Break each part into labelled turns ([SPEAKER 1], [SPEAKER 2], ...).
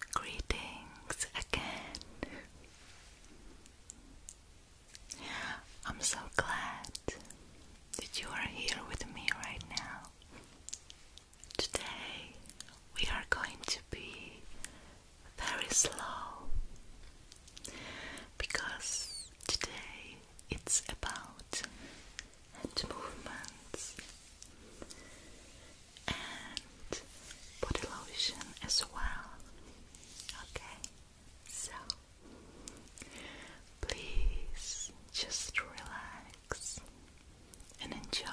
[SPEAKER 1] Greetings again. I'm so glad that you are here with me right now. Today we are going to be very slow because today it's about and movements and body lotion as well. Okay, so please just relax and enjoy.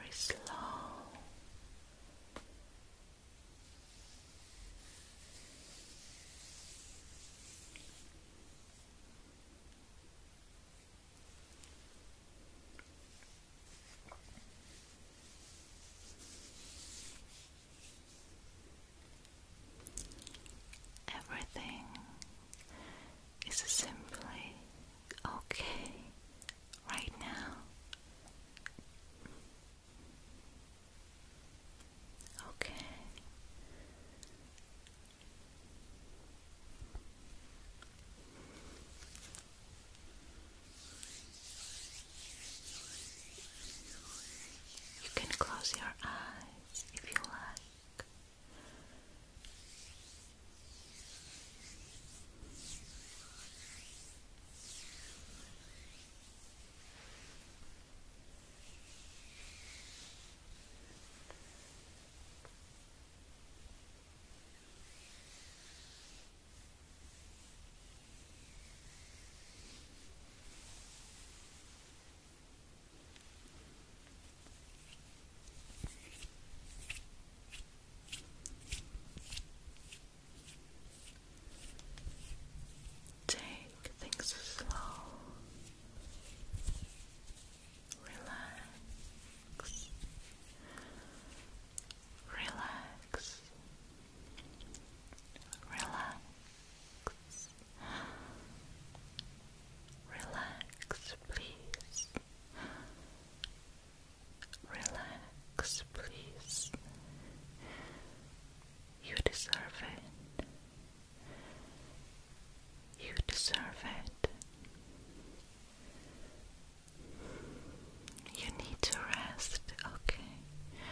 [SPEAKER 1] Very slow. Everything is simply okay right now. Okay, you can close your eyes if you like. Take things slow relax, relax, relax, relax, please. Relax, please. You deserve it. You deserve it. You need to rest, okay?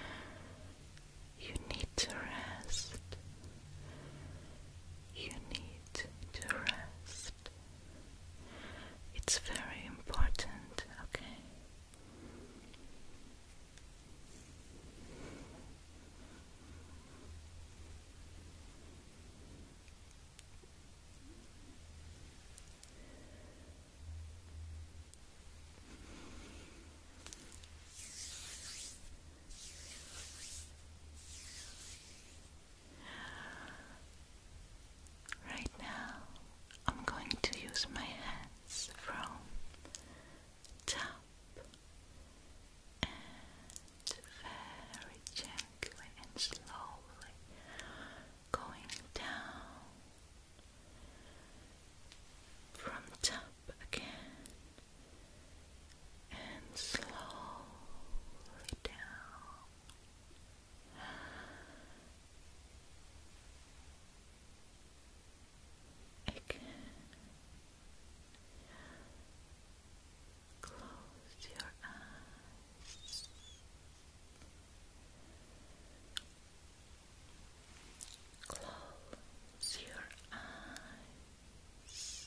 [SPEAKER 1] You need to rest. You need to rest. It's very important, okay? Right now, I'm going to use my hands from top up and very gently and slowly going down from top again and slowly down. Again. Close your eyes. Close your eyes.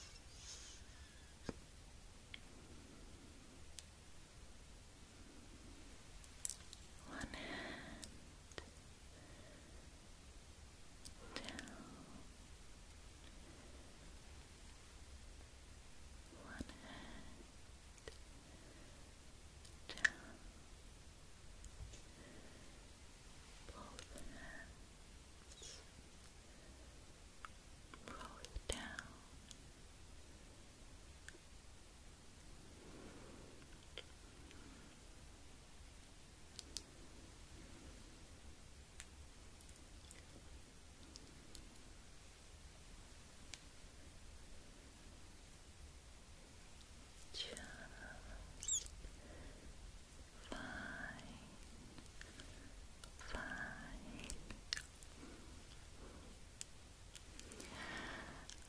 [SPEAKER 1] One hand down one hand down both hands both down Down, just fine, fine.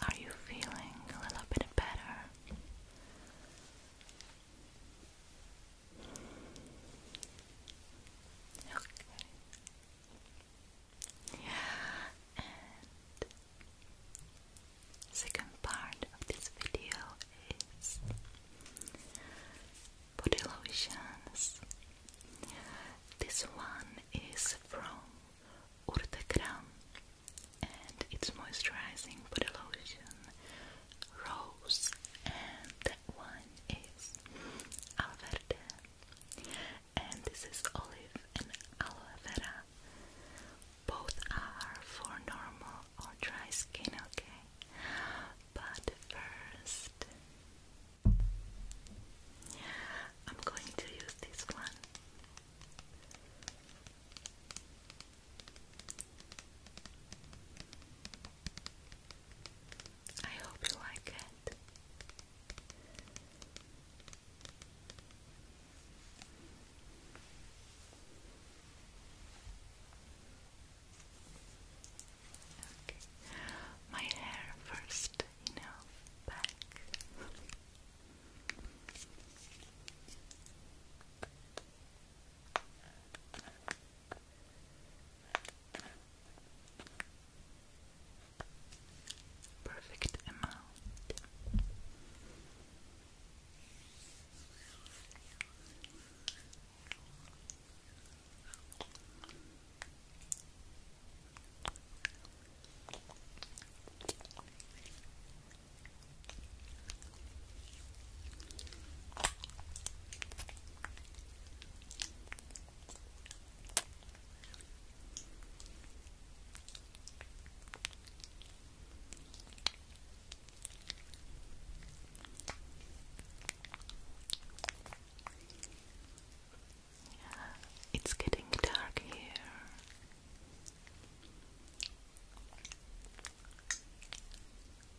[SPEAKER 1] Are you feeling a little bit better? second part of this video is body lotions. This one is from Urtekram and it's moisturizing body Rose, and that one is Alverde, and this is Olive and Aloe Vera. Both are for normal or dry skin, okay? But first, I'm going to use this one. I hope you like it. My hair first, you know, back. Perfect amount. It's getting dark here.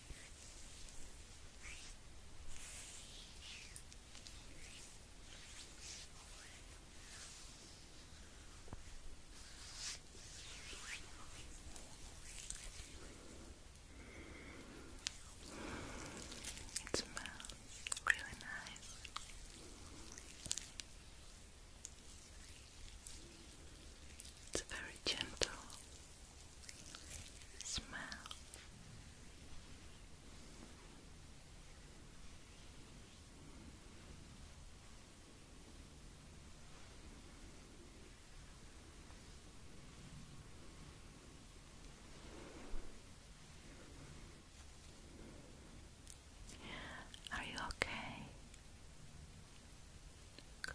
[SPEAKER 1] It smells really nice. It's very gentle Smell. Are you okay? Good.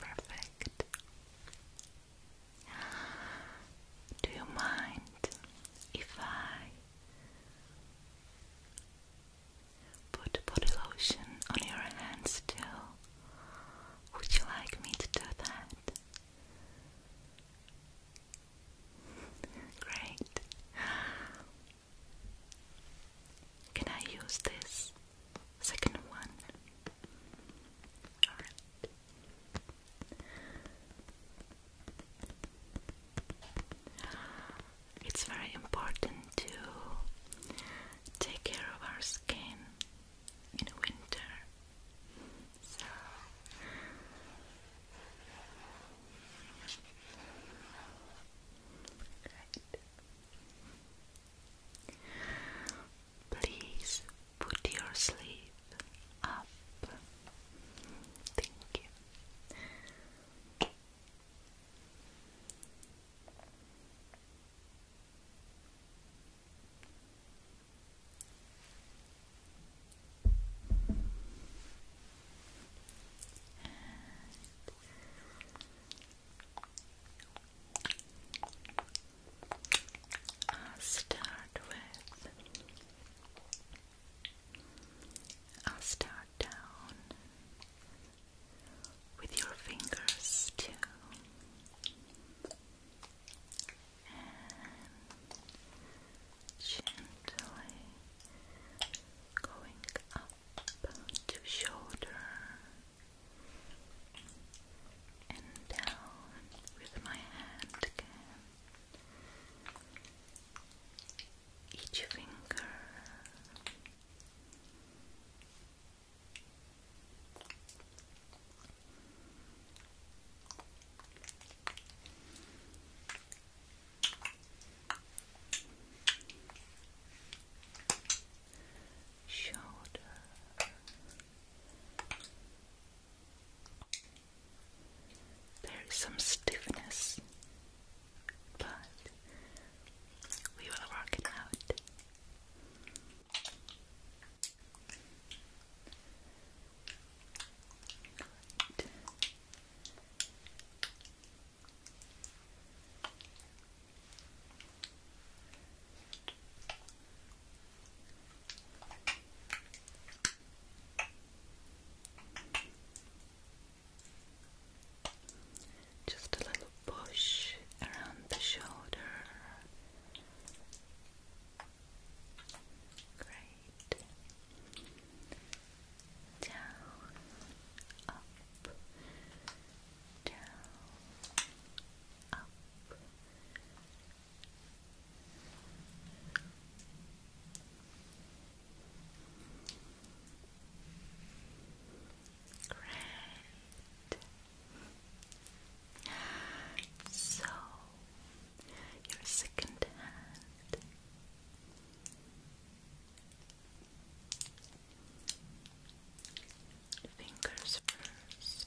[SPEAKER 1] Perfect. Do you mind if I put body lotion on your hands too? Would you like me to do that? Great. Can I use this second one? It's very important to take care of our skin in winter. So Please put your sleeve up. Thank you. I'll start with I'll start down with your fingers too and gently going up to shoulder and down with my hand again. Each finger shoulder there is some stiffness but we will work it out Good. Just a little push around the shoulder Great. Down, up, down, up. Great. So you're second hand. Fingers first.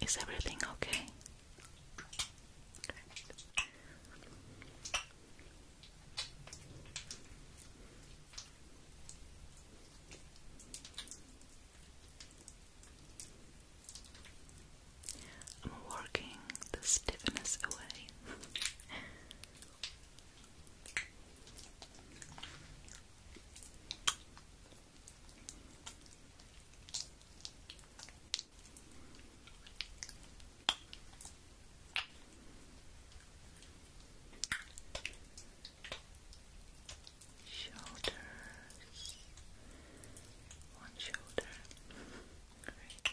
[SPEAKER 1] Is everything okay? I'm working the stiffness away. Shoulders, one shoulder, great.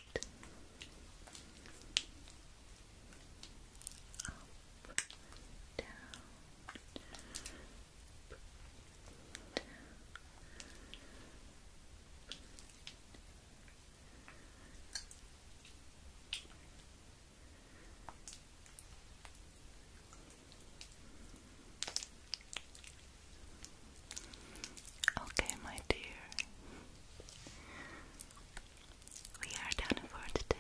[SPEAKER 1] Up, down, Okay, my dear, we are done for today.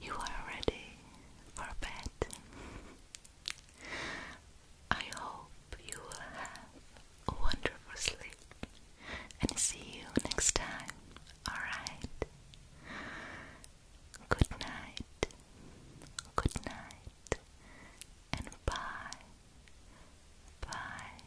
[SPEAKER 1] You are ready or a I hope you will have a wonderful sleep and see you next time, alright? Good night, good night, and bye, bye.